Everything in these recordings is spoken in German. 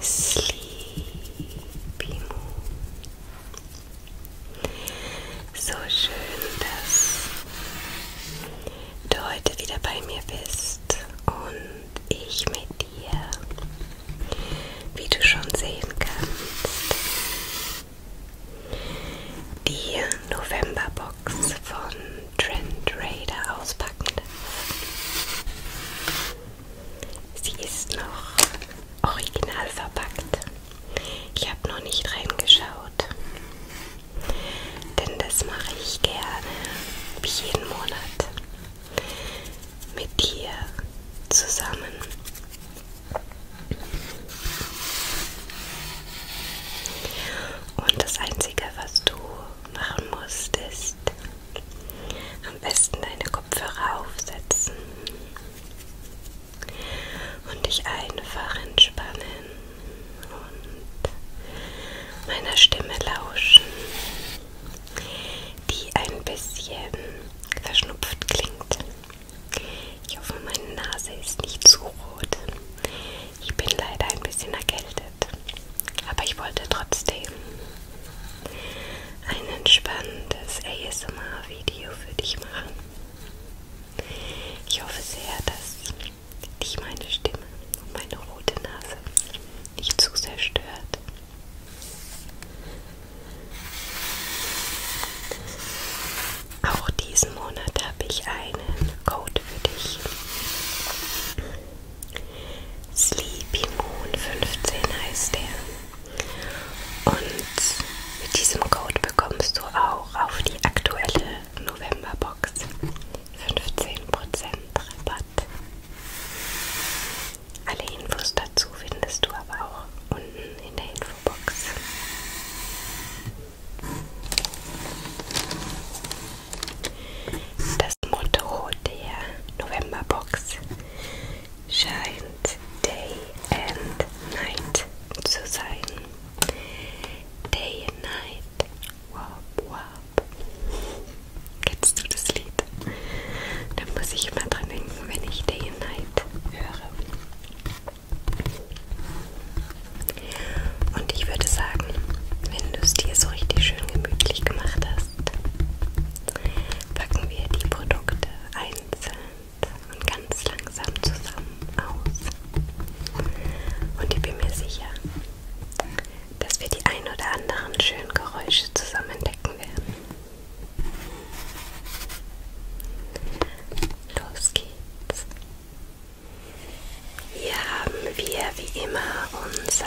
Sleepy Moon. So schön, dass du heute wieder bei mir bist und ich mit dir, wie du schon sehen kannst, die Novemberbox von Trend Raider auspacken darf. Sie ist noch original verpackt. Ich habe noch nicht reingeschaut. Denn das mache ich gerne, wie jeden Monat. Mit dir zusammen. Und das Einzige, was du machen musst, ist am besten deine Kopfhörer aufsetzen und dich einfach entspannen und meiner Stimme lauschen, die ein bisschen verschnupft klingt. Ich hoffe, meine Nase ist nicht zu rot. Ich bin leider ein bisschen erkältet, aber ich wollte trotzdem ein entspanntes ASMR-Video für dich machen. Ich hoffe sehr, dass dich meine Stimme und meine rote Nase nicht zu sehr stört. Auch diesen Monat habe ich einen Code für dich. Sleepy Moon 15 heißt der. Und mit diesem Code bekommst du auch auf die aktuelle Novemberbox 15% Rabatt. Alle Infos dazu findest du aber auch unten in der Infobox. Das Motto der Novemberbox scheint Day and Night zu sein. Day and Night, wop wop. Kennst du das Lied? Da muss ich immer dran denken, wenn ich Day and Night höre. Und ich würde sagen, wenn du es dir so richtig schön gemütlich gemacht hast, packen wir die Produkte einzeln und ganz langsam zusammen aus. Und ich bin mir sicher, dass wir die ein oder anderen schönen Geräusche zusammen entdecken werden. Los geht's. Hier haben wir wie immer unser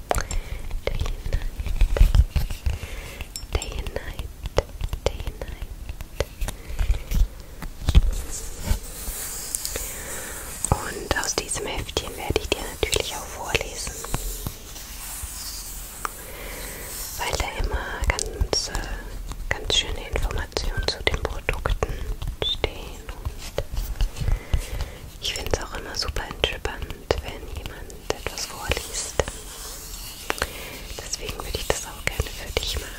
Day and night. Day and night. Day and night. Und aus diesem Heftchen werde ich dir natürlich auch vorlesen. Weil da immer ganz, äh, ganz schöne Informationen zu den Produkten stehen. Und ich finde es auch immer super entspannend, spannend, wenn jemand etwas vorliest. Deswegen würde ich das auch gerne für dich machen.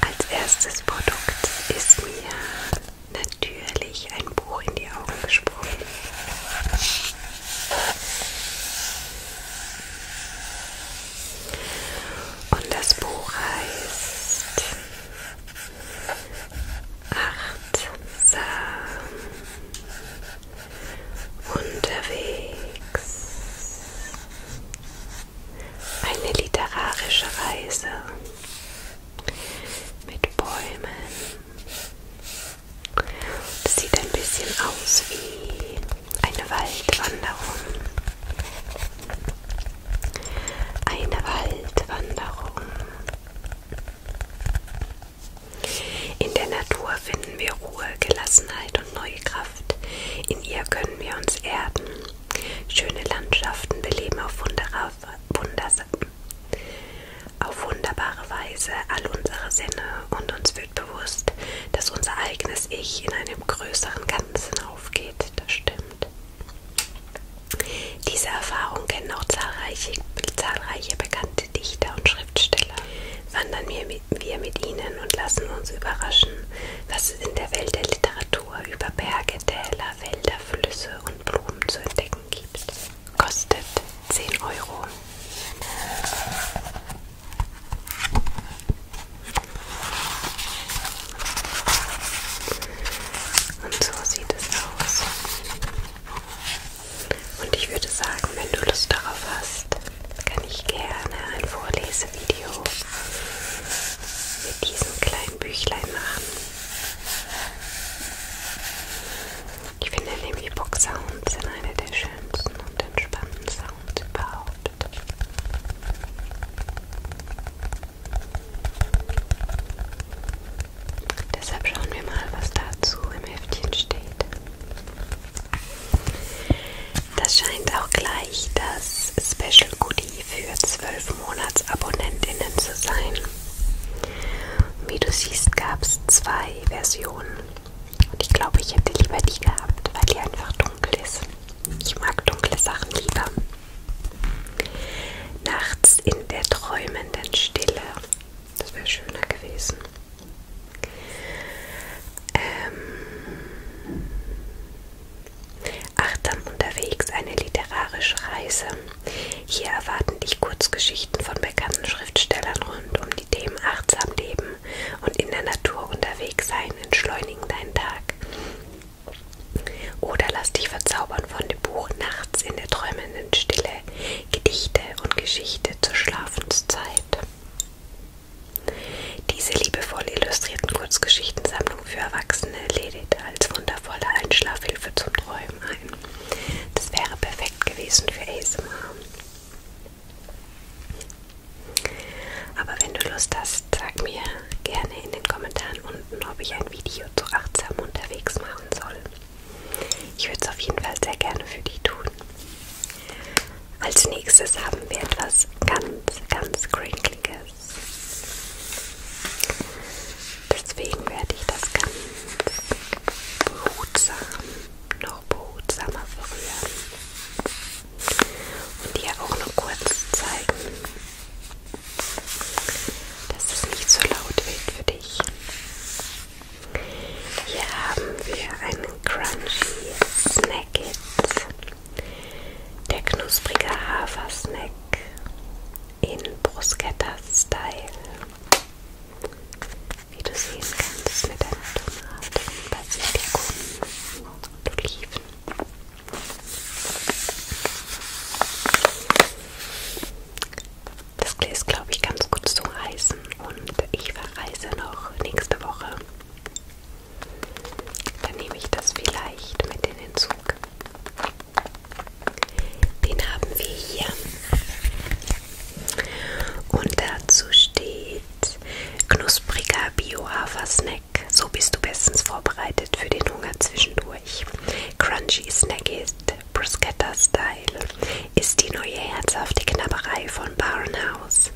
Als erstes Produkt ist mir natürlich ein Buch in die Augen gesprungen. Und das Buch heißt Achtsam unterwegs. Eine literarische Reise mit Bäumen. Das sieht ein bisschen aus wie eine Waldwanderung. Eine Waldwanderung. In der Natur finden wir Ruhe, Gelassenheit und neue Kraft. In ihr können wir uns erden Schöne Landschaften beleben auf, auf wunderbare Weise all unsere Sinne und uns wird bewusst, dass unser eigenes Ich in einem größeren Ganzen aufgeht. Das stimmt. diese Erfahrung kennen auch zahlreiche, zahlreiche bekannte Dichter und Schriftsteller. Wandern wir mit, wir mit ihnen und lassen uns überraschen, was es in der Welt der Literatur über Berge, Täler, Wälder, Flüsse und Blumen zu entdecken gibt. Kostet 10 Euro. Und so sieht es aus. Und ich würde sagen, wenn du Lust darauf hast, kann ich gerne ein Vorlesevideo mit diesem kleinen ein Büchlein machen. Ich finde nämlich E-Book-Sounds sind eine der schönsten und entspannten Sounds überhaupt. Deshalb schauen wir mal, was dazu im Heftchen steht. Das scheint auch gleich das Special Goodie Garantie für 12 Monatsabonnentinnen zu sein. Wie du siehst, gab es zwei Versionen. Und ich glaube, ich hätte lieber die gehabt, weil die einfach dunkel ist. Ich mag dunkle Sachen lieber. Nachts in der träumenden Stille. Das wäre schöner gewesen. Ähm Achtsam unterwegs eine literarische Reise. Hier erwarten dich Kurzgeschichten von bekannten Schriftstellern rund um die Themen achtsam leben und in der Natur unterwegs sein, entschleunigen deinen Tag. Oder lass dich verzaubern von dem Buch Nachts in der träumenden Stille, Gedichte und Geschichte zur Schlafenszeit. Diese liebevoll illustrierten Kurzgeschichten für Erwachsene lädt als wundervolle Einschlafhilfe zum Träumen ein. Das wäre perfekt gewesen für ASMR. Aber wenn du Lust hast, sag mir gerne in den Kommentaren unten, ob ich ein Video zu achtsam unterwegs machen soll. Ich würde es auf jeden Fall sehr gerne für dich tun. Als nächstes haben wir etwas ganz, ganz Crinkliges. Deswegen werde ich das ganz behutsam, noch behutsamer berühren und dir auch nur kurz zeigen, dass es nicht so laut wird für dich. Hier haben wir einen Crunchy Snacket der knusprige Hafersnack in Bruschetta-Style. Wie du sehen kannst, mit einer Tomate, Basilikum und Oliven. Das ist, glaube ich, ganz gut zu reißen und ich verreise noch nächste Woche dann nehme ich das vielleicht mit in den Zug. Den haben wir hier. Und dazu steht knuspriger Bio-Hafer-Snack. So bist du bestens vorbereitet für den Hunger zwischendurch. Crunchy Snackist Bruschetta Style ist die neue herzhafte Knabberei von Barnhouse,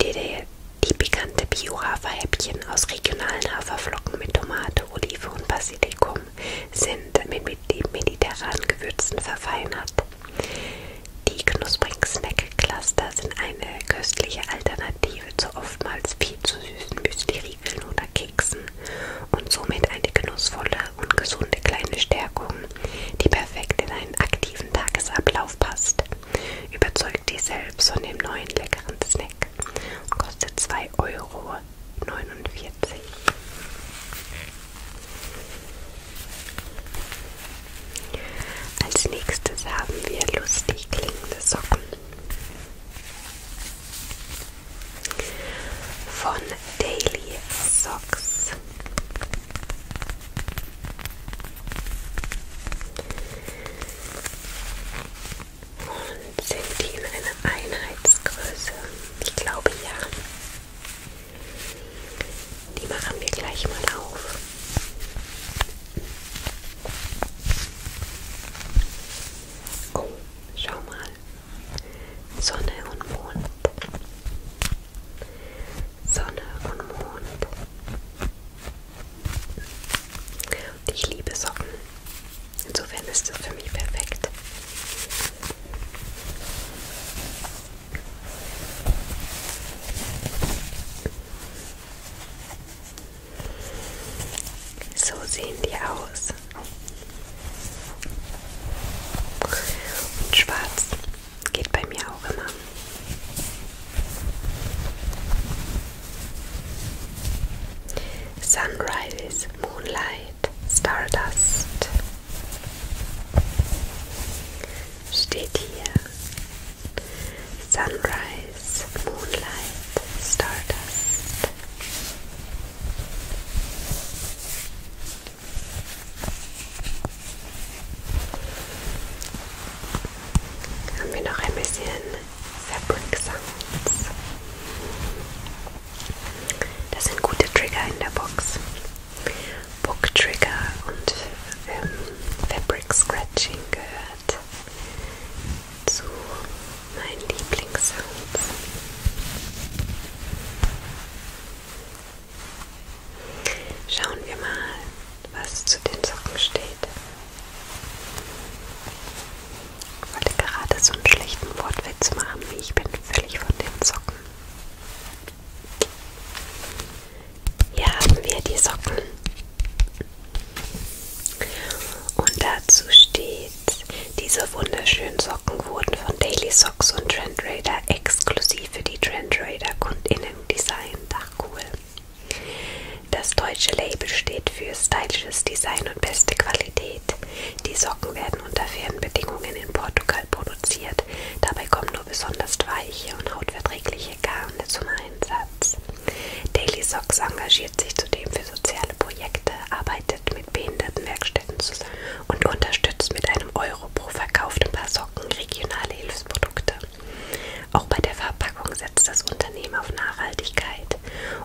die dir die pikante Bio-Haferhäppchen aus regionalen Haferflocken mit Tomate, Olive und Basilikum sind mit mediterranen Gewürzen verfeinert. Die knusprigen Snack-Cluster sind eine köstliche Alternative zu oftmals viel zu süßen Müsli-Riegeln oder Keksen und somit eine genussvolle und gesunde kleine Stärkung, die perfekt in einen aktiven Tagesablauf passt überzeugt dich selbst von dem neuen leckeren Snack und kostet 2,49 Euro. Als nächstes haben wir lustig klingende Socken. Von Daily Socks. Und sind die in einer Einheitsgröße? Ich glaube ja. Die machen wir gleich mal auf. Oh, schau mal. Sonne und Mond. Sonne und Mond. Und ich liebe Socken. Insofern ist das für mich perfekt. So sehen die aus. Und schwarz geht bei mir auch immer. Sunrise, Moonlight, Stardust steht hier. Sunrise, Moonlight, Stardust. Haben wir noch ein bisschen Fabric Sounds. Das sind gute Trigger in der Box. Book Trigger und ähm, Fabric Scratching gehört zu meinen Lieblingssounds. Schauen wir mal, was zu den Socken steht steht. Ich wollte gerade so einen schlechten Wortwitz machen, wie ich bin völlig von den Socken. Hier haben wir die Socken. Und dazu steht, diese wunderschönen Socken wurden von Daily Socks und Trend Raider exklusiv für die Trend Raider KundInnen designt. Ach cool. Das deutsche Label steht für stylisches Design und beste Qualität. Die Socken werden unter fairen Bedingungen in Portugal produziert. Dabei kommen nur besonders weiche und hautverträgliche Garne zum Einsatz. Daily Socks engagiert sich zudem für soziale Projekte, arbeitet mit Behindertenwerkstätten zusammen und unterstützt mit einem Euro pro verkauften Paar Socken regionale Hilfsprodukte. Auch bei der Verpackung setzt das Unternehmen auf Nachhaltigkeit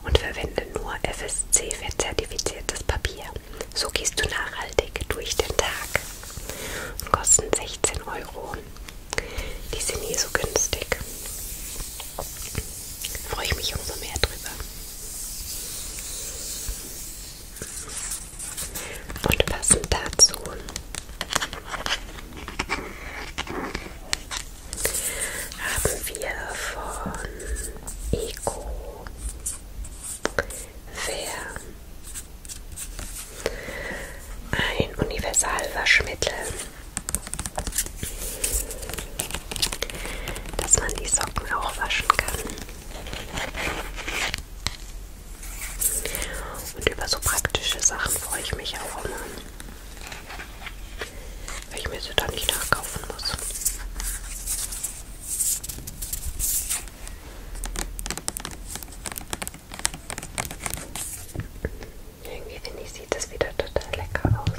und verwendet nur FSC-zertifiziertes Papier. So gehst du nachhaltig durch den Tag und kosten 16 Euro. Die sind nie so günstig. Freue ich mich umso mehr drüber. Und passend dazu haben wir von Eco Fair ein Universalwaschmittel, dass man die Socken auch waschen kann. Und über so praktische Sachen freue ich mich auch immer. Weil ich mir sie da nicht nachkaufen muss. Irgendwie finde ich, sieht das wieder total lecker aus.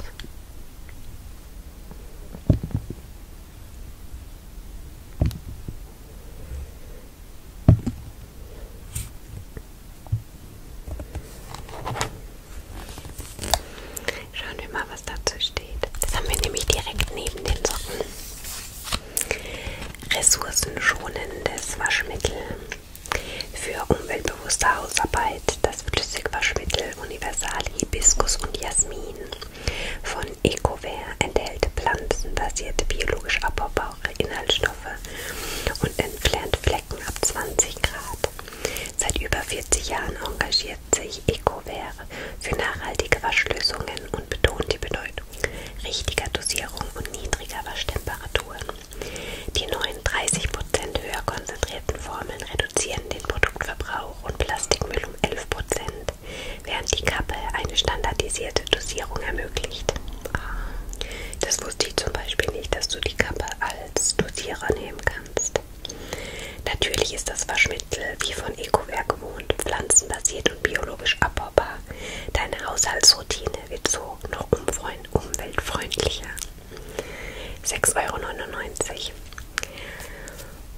Schauen wir mal, was dazu steht. Das haben wir nämlich direkt neben den Socken. Ressourcenschonendes Waschmittel für umweltbewusste Hausarbeit. Das Flüssigwaschmittel Universal Hibiskus und Jasmin von EcoVair enthält pflanzenbasierte biologisch abbaubare Inhaltsstoffe Stoffe und entfernt Flecken ab 20 Grad. Seit über 40 Jahren engagiert sich EcoVer für nachhaltige Waschlösungen und betont die Bedeutung richtiger Dosierung und niedriger Waschtemperaturen. Die neuen 30% höher konzentrierten Formeln reduzieren den Produktverbrauch und Plastikmüll um 11%, während die Kappe eine standardisierte Dosierung ermöglicht. Das wusste ich zum Beispiel nicht, dass du die Kappe als Dosierer nehmen kannst. Natürlich ist das Waschmittel wie von EcoWare gewohnt, pflanzenbasiert und biologisch abbaubar. Deine Haushaltsroutine wird so noch umweltfreundlicher. 6,99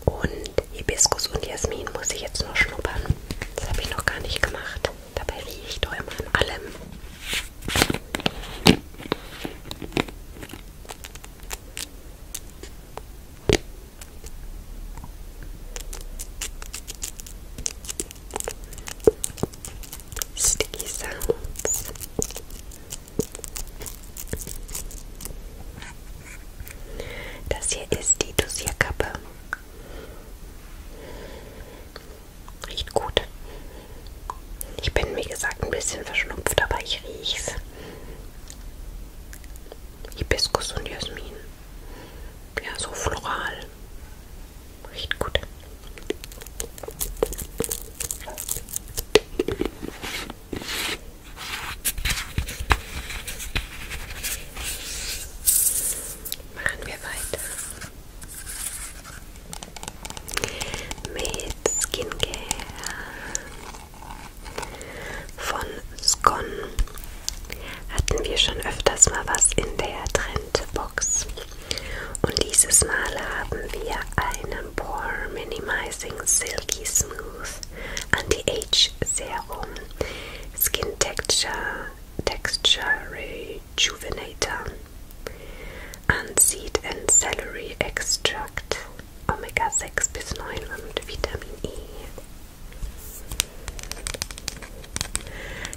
Euro. Und Hibiskus und Jasmin muss ich jetzt noch schnuppern. Das habe ich noch gar nicht gemacht. Dabei riecht doch immer an allem. Sticky Sounds. Das hier ist die Dosierkappe. Riecht gut. Ich bin, wie gesagt, ein bisschen verschnupft, aber ich riech's. Hibiskus und Jasmin. Ja, so floral. Riecht gut. Machen wir weiter mit Skincare von Scon. Hatten wir schon öfters mal was in der Trendbox. Und dieses Mal haben wir einen Pore Minimizing Silky Smooth Anti-Age Serum Skin Texture Texture rejuvenator, Unseed and Celery Extract, Omega 6 bis 9 und Vitamin E.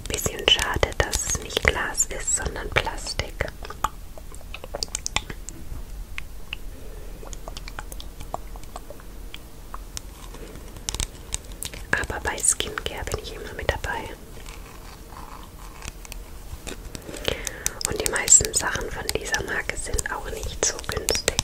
Bisschen schade, dass es nicht Glas ist, sondern Plastik. Aber bei Skincare bin ich immer mit dabei. Und die meisten Sachen von dieser Marke sind auch nicht so günstig.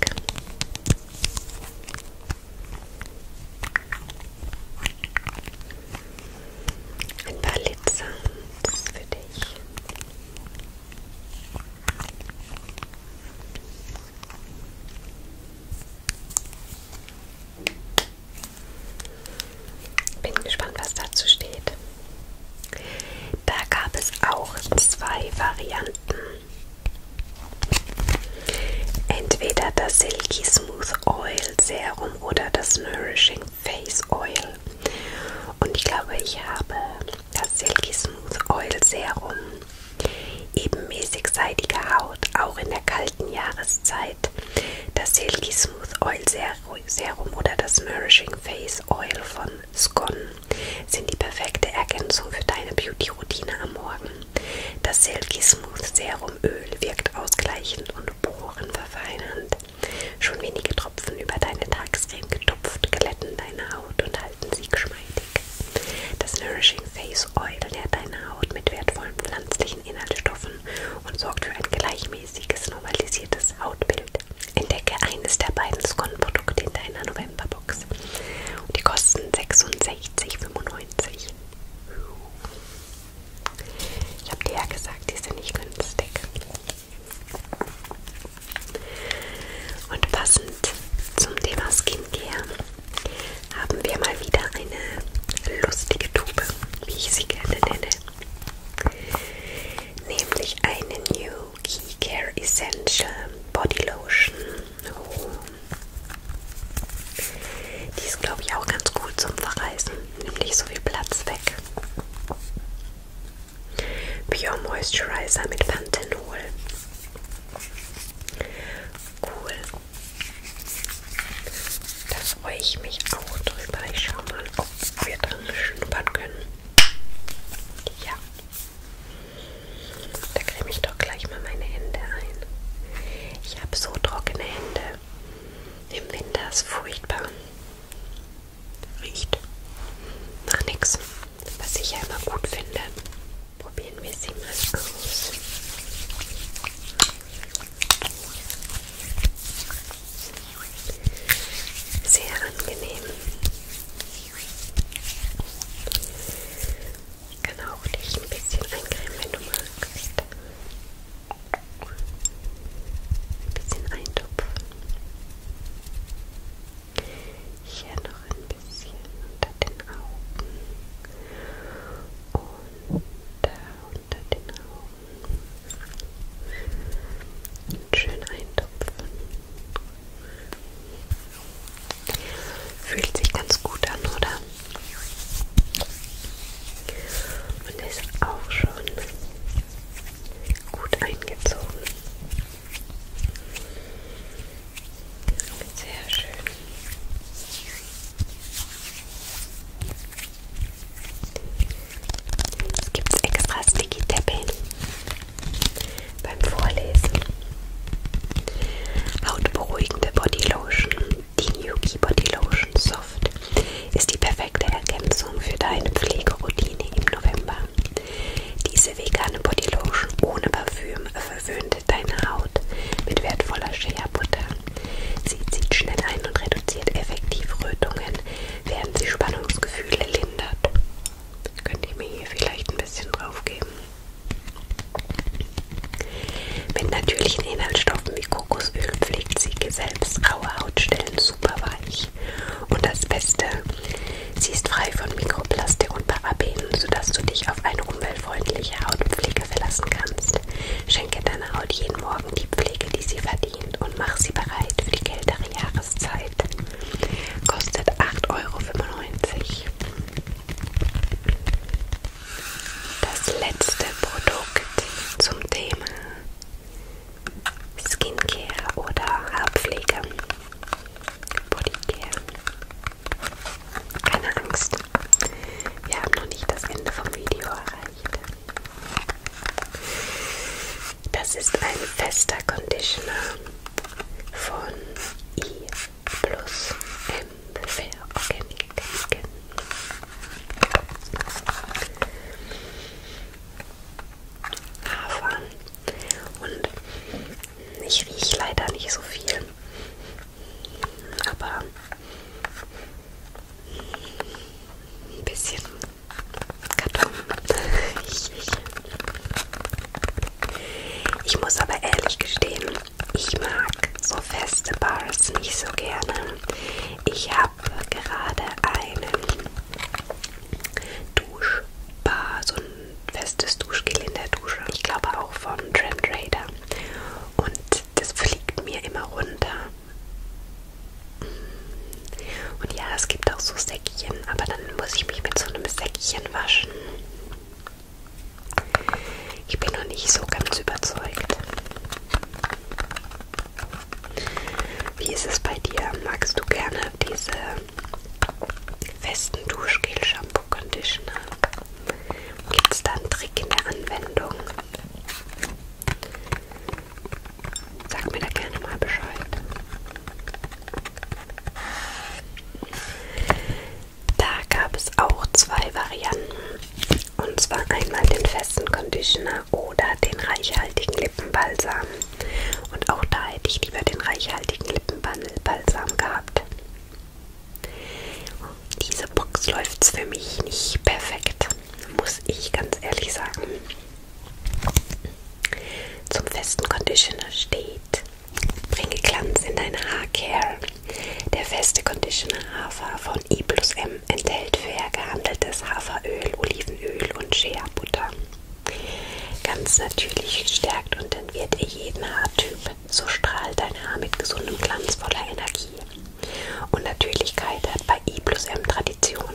Ein paar Litzans für dich. Bin gespannt, was dazu steht. Da gab es auch zwei Varianten. Entweder das Silky Smooth Oil Serum oder das Nourishing Face Oil. Und ich glaube, ich habe das Silky Smooth Oil Serum. Ebenmäßig seidige Haut, auch in der kalten Jahreszeit Zeit. Das Silky Smooth Oil Serum oder das Nourishing Face Oil von Scon sind die perfekte Ergänzung für deine Beauty-Routine am Morgen. Das Silky Smooth Serum Öl wirkt ausgleichend und porenverfeinernd. Schon wenige Tropfen über deine Tagescreme getupft glätten deine Haut und halten sie geschmeidig. Das Nourishing Face Oil nährt deine Haut mit wertvollen pflanzlichen gleichen Inhaltsstoffen und sorgt für ein gleichmäßiges, normalisiertes Hautbild. Entdecke eines der beiden Scon-Produkte in deiner Novemberbox. Und die kosten 66,95. Ich habe dir ja gesagt, die sind nicht günstig. Und passend zum Thema Skincare haben wir mal wieder eine lustige Tube wie ich sie gerne nenne. Nämlich eine New Key Care Essential Body Lotion. Oh. Die ist, glaube ich, auch ganz gut zum Verreisen. Nimmt nicht so viel Platz weg. Pure Moisturizer mit Panthenol. Cool. Da freue ich mich auch drüber. Ich schaue mal, ob wir dran schnuppern können. Ja. Da creme ich doch gleich mal meine Hände ein. Ich habe so trockene Hände. Im Winter ist furchtbar. Riecht nach nichts. Was ich ja immer gut finde. Probieren wir sie mal aus. Sehr angenehm. Genau, ich kann auch dich ein bisschen eincremen, wenn du magst. Ein bisschen eintupfen. Hier noch ein bisschen unter den Augen. Und da unter den Augen. Und schön eintupfen. Fühlt sich ganz gut an, oder? Und ist auch schon gut eingezogen. Sehr schön. Es gibt extra Sticky Tapping beim Vorlesen. Hautberuhigende Bodylotion. Die Yuki Body Lotion Soft ist die perfekte Ergänzung für deine Pflegeroutine im November. Diese vegane Bodylotion ohne Parfüm verwöhnt deine Haut mit wertvoller Shea Butter. Sie zieht schnell ein und reduziert effektiv Rötungen, während sie Spannungsgefühle lindert. Könnte ich mir hier vielleicht ein bisschen drauf geben. Mit natürlichen Inhaltsstoffen wie Kokosöl pflegt sie selbst raue Hautstellen super weich. Und das Beste, sie ist frei von Mikroplastik und Parabenen, sodass du dich auf eine umweltfreundliche Hautpflege verlassen kannst. Schenke deiner Haut jeden Morgen Augen die Pflege, die sie verdient und mach sie bereit für die kältere Jahreszeit. Kostet 8,95 Euro. Das letzte Produkt zum Thema Skincare oder Haarpflege. Bodycare. Keine Angst, wir haben noch nicht das Ende vom Video erreicht möchte. Das ist ein fester Conditioner von I plus M Fair Organic Skin. Hafer. Und ich rieche leider nicht so viel aber ein bisschen Karton. ich, ich. ich muss aber ehrlich gestehen, ich mag so feste Bars nicht so gerne. Ich habe gerade einen Duschbar, so ein festes Duschgel in der Dusche. Ich glaube auch von Trend Raider und das fliegt mir immer runter. Und ja, es gibt auch so Säckchen, aber dann muss ich mich mit so einem Säckchen waschen. Ich bin noch nicht so ganz überzeugt. Wie ist es bei dir? Magst du gerne diese festen Duschgel, Shampoo, Conditioner? Gibt es da einen Trick in der Anwendung? Sag mir da gerne mal Bescheid. Da gab es auch zwei Varianten. Und zwar einmal den festen Conditioner oder den reichhaltigen Lippenbalsam. Und auch da hätte ich lieber den reichhaltigen Lippenbalsam gehabt. Diese Box läuft für mich nicht perfekt, muss ich ganz ehrlich sagen. Zum festen Conditioner steht: Bringe Glanz in deine Haarcare. Der feste Conditioner Hafer von I plus M enthält fair gehandeltes Haferöl, Olivenöl und Shea Butter. Ganz natürlich stärkt und entwirrt ihr jeden Haartyp. So strahlt dein Haar mit gesundem Glanz voller Energie. Und Natürlichkeit hat bei I plus M Tradition.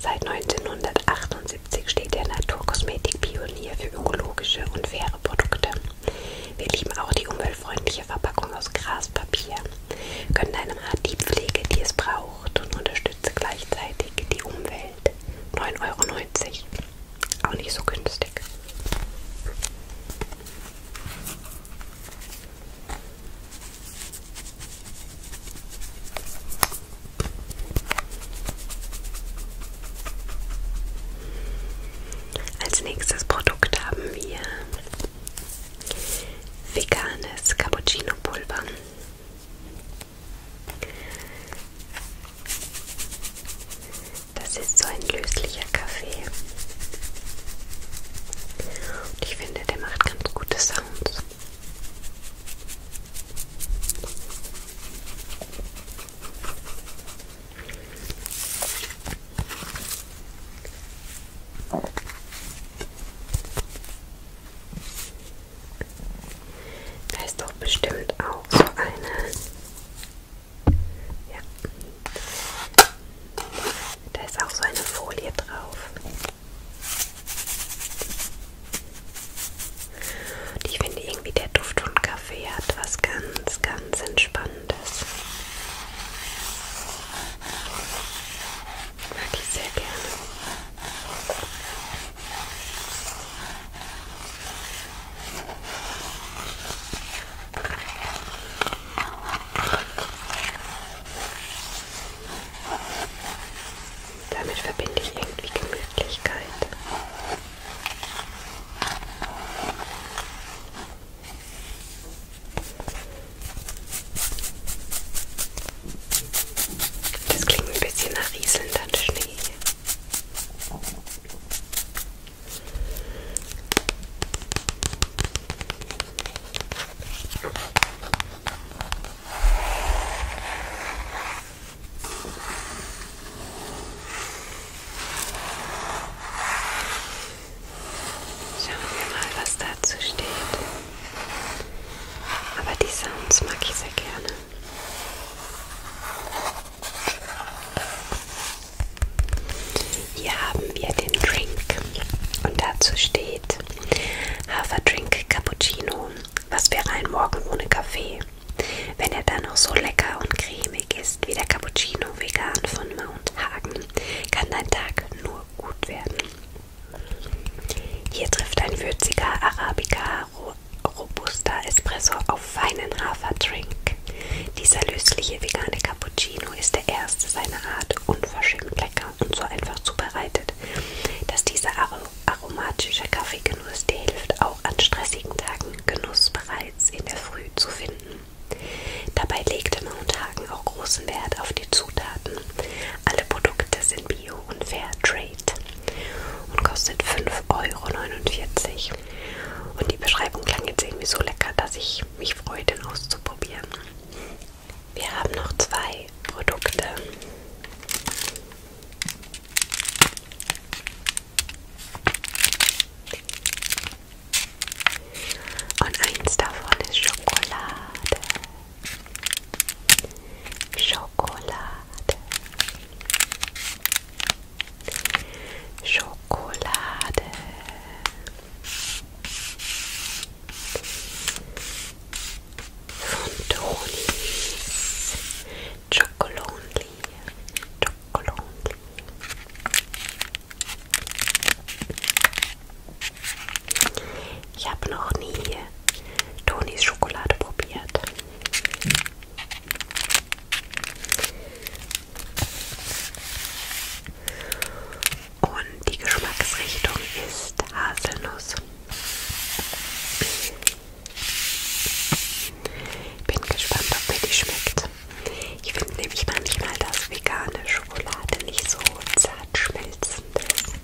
Seit 1978 steht der Naturkosmetik-Pionier für ökologische und faire Produkte. Wir lieben auch die umweltfreundliche Verpackung aus Graspapier, können deinem Haar die Pflege, die es braucht und unterstütze gleichzeitig die Umwelt. 9,90 Euro. Auch nicht so günstig. Als nächstes Produkt haben wir veganes Cappuccino Pulver. Das ist so ein löslicher Kaffee. Und ich finde, der macht ganz gute Sounds. Da ist doch bestimmt auch so eine ja. Da ist auch so eine Folie drauf. Und ich finde irgendwie der Duft und Kaffee hat was ganz, ganz Entspannendes. Mag ich sehr gerne. Damit verbinde ich irgendwie Gemütlichkeit. Das klingt ein bisschen nach rieselnder Schnee. Schauen wir mal, was dazu steht. Aber die Sounds mag ich sehr gerne. Hier haben wir den Drink und dazu steht Haferdrink Cappuccino, was wäre ein Morgen ohne Kaffee, wenn er dann noch so lecker und cremig ist wie der Cappuccino vegan von Mount Hagen, kann dein Tag nur gut werden. Hier trifft ein würziger Arabica Robusta Espresso auf feinen Haferdrink. Dieser lösliche vegane Cappuccino ist der erste seiner Art, unverschämt lecker und so einfach zubereitet, dass dieser aromatische Kaffeegenuss dir hilft, auch an stressigen Tagen Genuss bereits in der Früh zu finden. Dabei legte Mounthagen auch großen Wert auf die Zutaten. Alle Produkte sind Bio und Fair Trade und kostet 5,49 Euro. Und die Beschreibung klang jetzt irgendwie so lecker, dass ich ich mich freue, den auszuprobieren. Wir haben noch zwei Produkte. Und eins davon ist Schokolade. Schokolade. Schokolade. Van Tony's Chocolonely. Chocolonely. Ich habe noch nie Tonys Schokolade probiert. Und die Geschmacksrichtung ist Haselnuss. Bin gespannt, ob mir die schmeckt. Ich finde nämlich manchmal, dass vegane Schokolade nicht so zart schmelzend ist.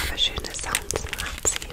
Aber schöne Sounds macht sie.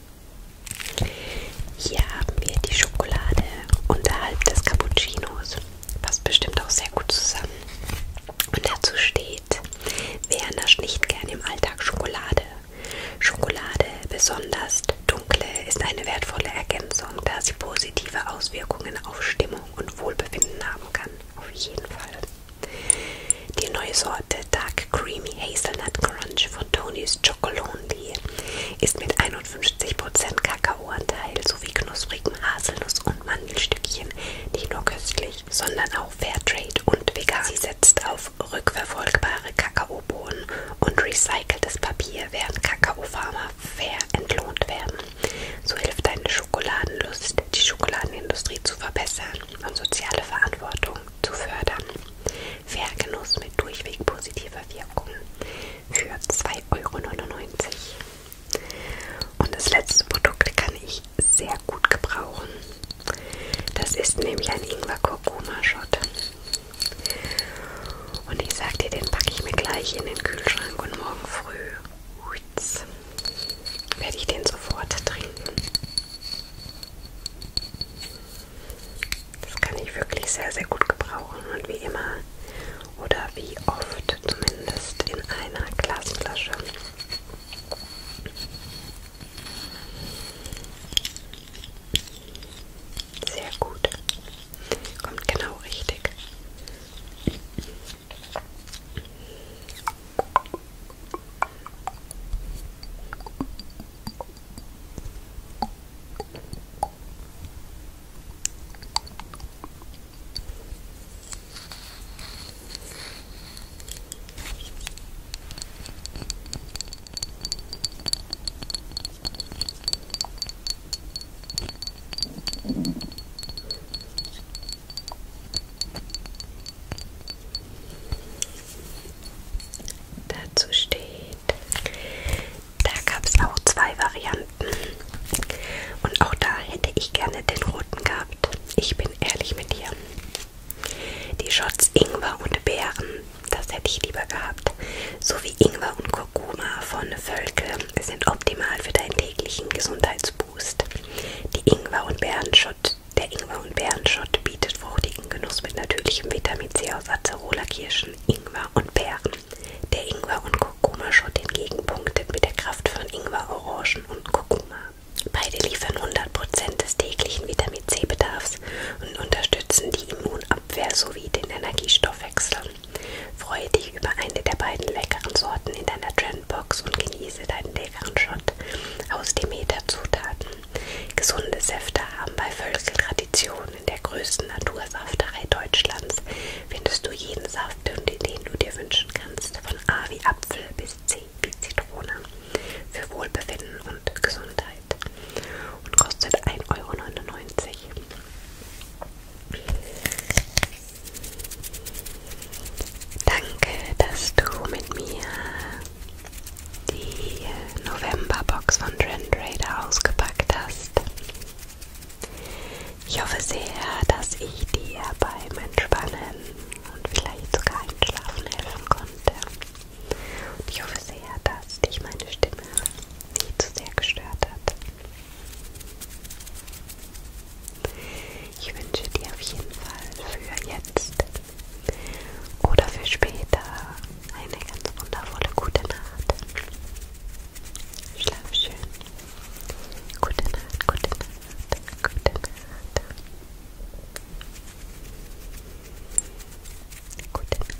Hier haben wir die Schokolade unterhalb des Cappuccinos. Passt bestimmt auch sehr gut zusammen. Und dazu steht, wer nascht nicht gern im Alltag Schokolade? Schokolade, besonders dunkle, ist eine wertvolle Ergänzung, da sie positive Auswirkungen auf Stimmung und Wohlbefinden haben kann. Auf jeden Fall. Die neue Sorte Dark Creamy Hazelnut Crunch von Tony's Chocolondi ist mit 51% Kakaoanteil sowie knusprigem Haselnuss- und Mandelstückchen nicht nur köstlich, sondern auch Fairtrade und vegan. Sie setzt auf rückverfolgbare Kakaobohnen und recyceltes Papier, während Kakaofarmer fair entlohnt werden. So hilft deine Schokoladenlust, die Schokoladenindustrie zu verbessern und soziale Verantwortung zu fördern. Vergenuss mit durchweg positiver Wirkung für 2,99 Euro. Und das letzte Produkt kann ich sehr gut gebrauchen. Das ist nämlich ein Ingwer-Kurkuma-Shot. Und ich sag dir, den packe ich mir gleich in den Kühlschrank und morgen früh huiz, werde ich den sofort trinken. Das kann ich wirklich sehr, sehr gut gebrauchen und wie immer oder wie oft zumindest in einer Glasflasche. Sehr gut. Kommt genau richtig. Dazu steht da gab es auch zwei Varianten. Und auch da hätte ich gerne den roten gehabt. Ich bin ehrlich mit dir. Die Shots Ingwer und Beeren, das hätte ich lieber gehabt. Sowie Ingwer und Kurkuma von Völke sind optimal für deinen täglichen Gesundheitsboost. Die Ingwer und Beerenschott, der Ingwer und Beerenschott bietet fruchtigen Genuss mit natürlichem Vitamin C aus Acerola-Kirschen, Ingwer und Beeren. Der Ingwer- und Kurkuma-Shot hingegen punktet mit der Kraft von Ingwer, Orangen und Kurkuma. Beide liefern 100% des täglichen Vitamin C-Bedarfs und unterstützen die Immunabwehr sowie den Energiestoffwechsel. Freue dich über eine der beiden leckeren Sorten in deiner Trendbox und genieße deinen leckeren Shot aus Demeter-Zutaten. Gesunde Säfte haben bei Völkel Tradition. In der größten Natursafterei Deutschlands findest du jeden Saft, den du dir wünschen kannst. Von A wie Apfel bis C wie Zitrone. Für Wohlbefinden und Gesundheit. Und kostet 1,99 Euro. Danke, dass du mit mir die Novemberbox von Trend Raider ausgepackt hast. Ich hoffe sehr, dass ich dir beim Entspannen und vielleicht sogar Einschlafen helfen konnte. Und ich hoffe sehr, dass dich meine Stimme nicht zu sehr gestört hat. Ich wünsche dir auf jeden Fall für jetzt oder für später eine ganz wundervolle gute Nacht. Schlaf schön. Gute Nacht, gute Nacht, gute Nacht. Gute Nacht.